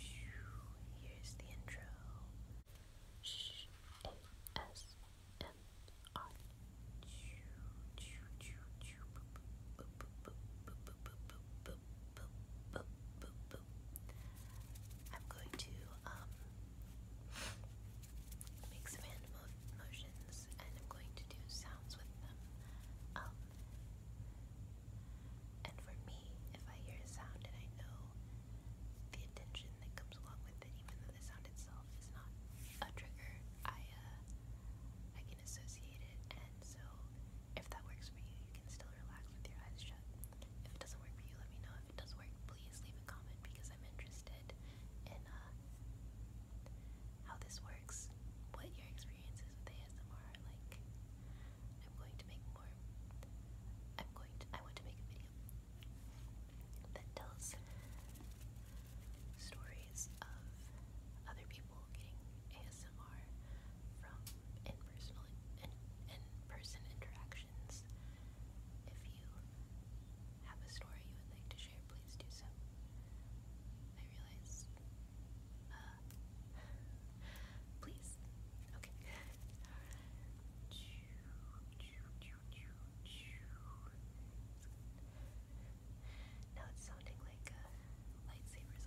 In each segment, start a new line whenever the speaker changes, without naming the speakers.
Here's the intro. ASMR. am going to um, make some hand motions and I'm going to do sounds with them. Um, and for me, if I hear a sound and I know the attention that comes along with it, even though the sound itself is not a trigger, I uh, I can associate it. And so, if that works for you, you can still relax with your eyes shut. If it doesn't work for you, let me know. If it does work, please leave a comment because I'm interested in uh, how this works, what your experience is with ASMR like. I'm going to make more. I'm going I want to make a video that tells stories of other people getting ASMR from in-personal in person interactions. If you have a story you would like to share, please do so. I realize uh, please. Okay. Now it's sounding like lightsabers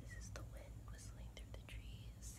This is the wind whistling through the trees. This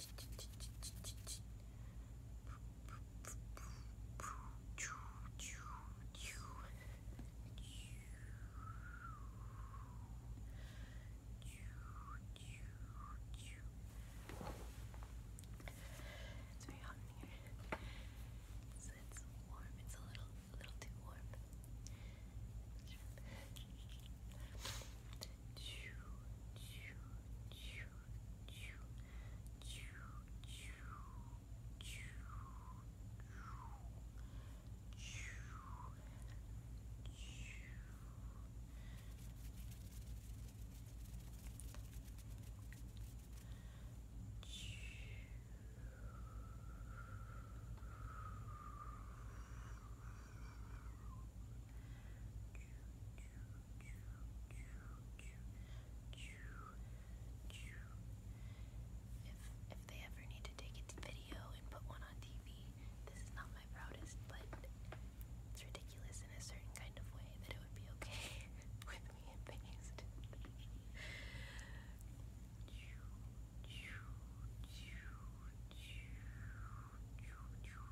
It's very hot in here. So it's warm. It's a little a little too warm. Choo.
If they ever need to take it to video and put one on TV, this is not my proudest, but it's ridiculous in a certain kind of way that it would be okay with me and based.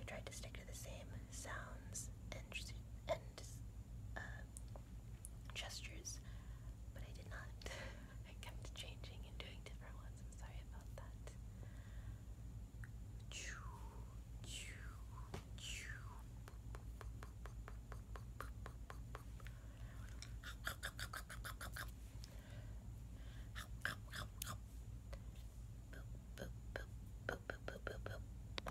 I tried to stick to the same sounds and and uh, gestures, but I did not. I kept changing and doing different ones. I'm sorry about that.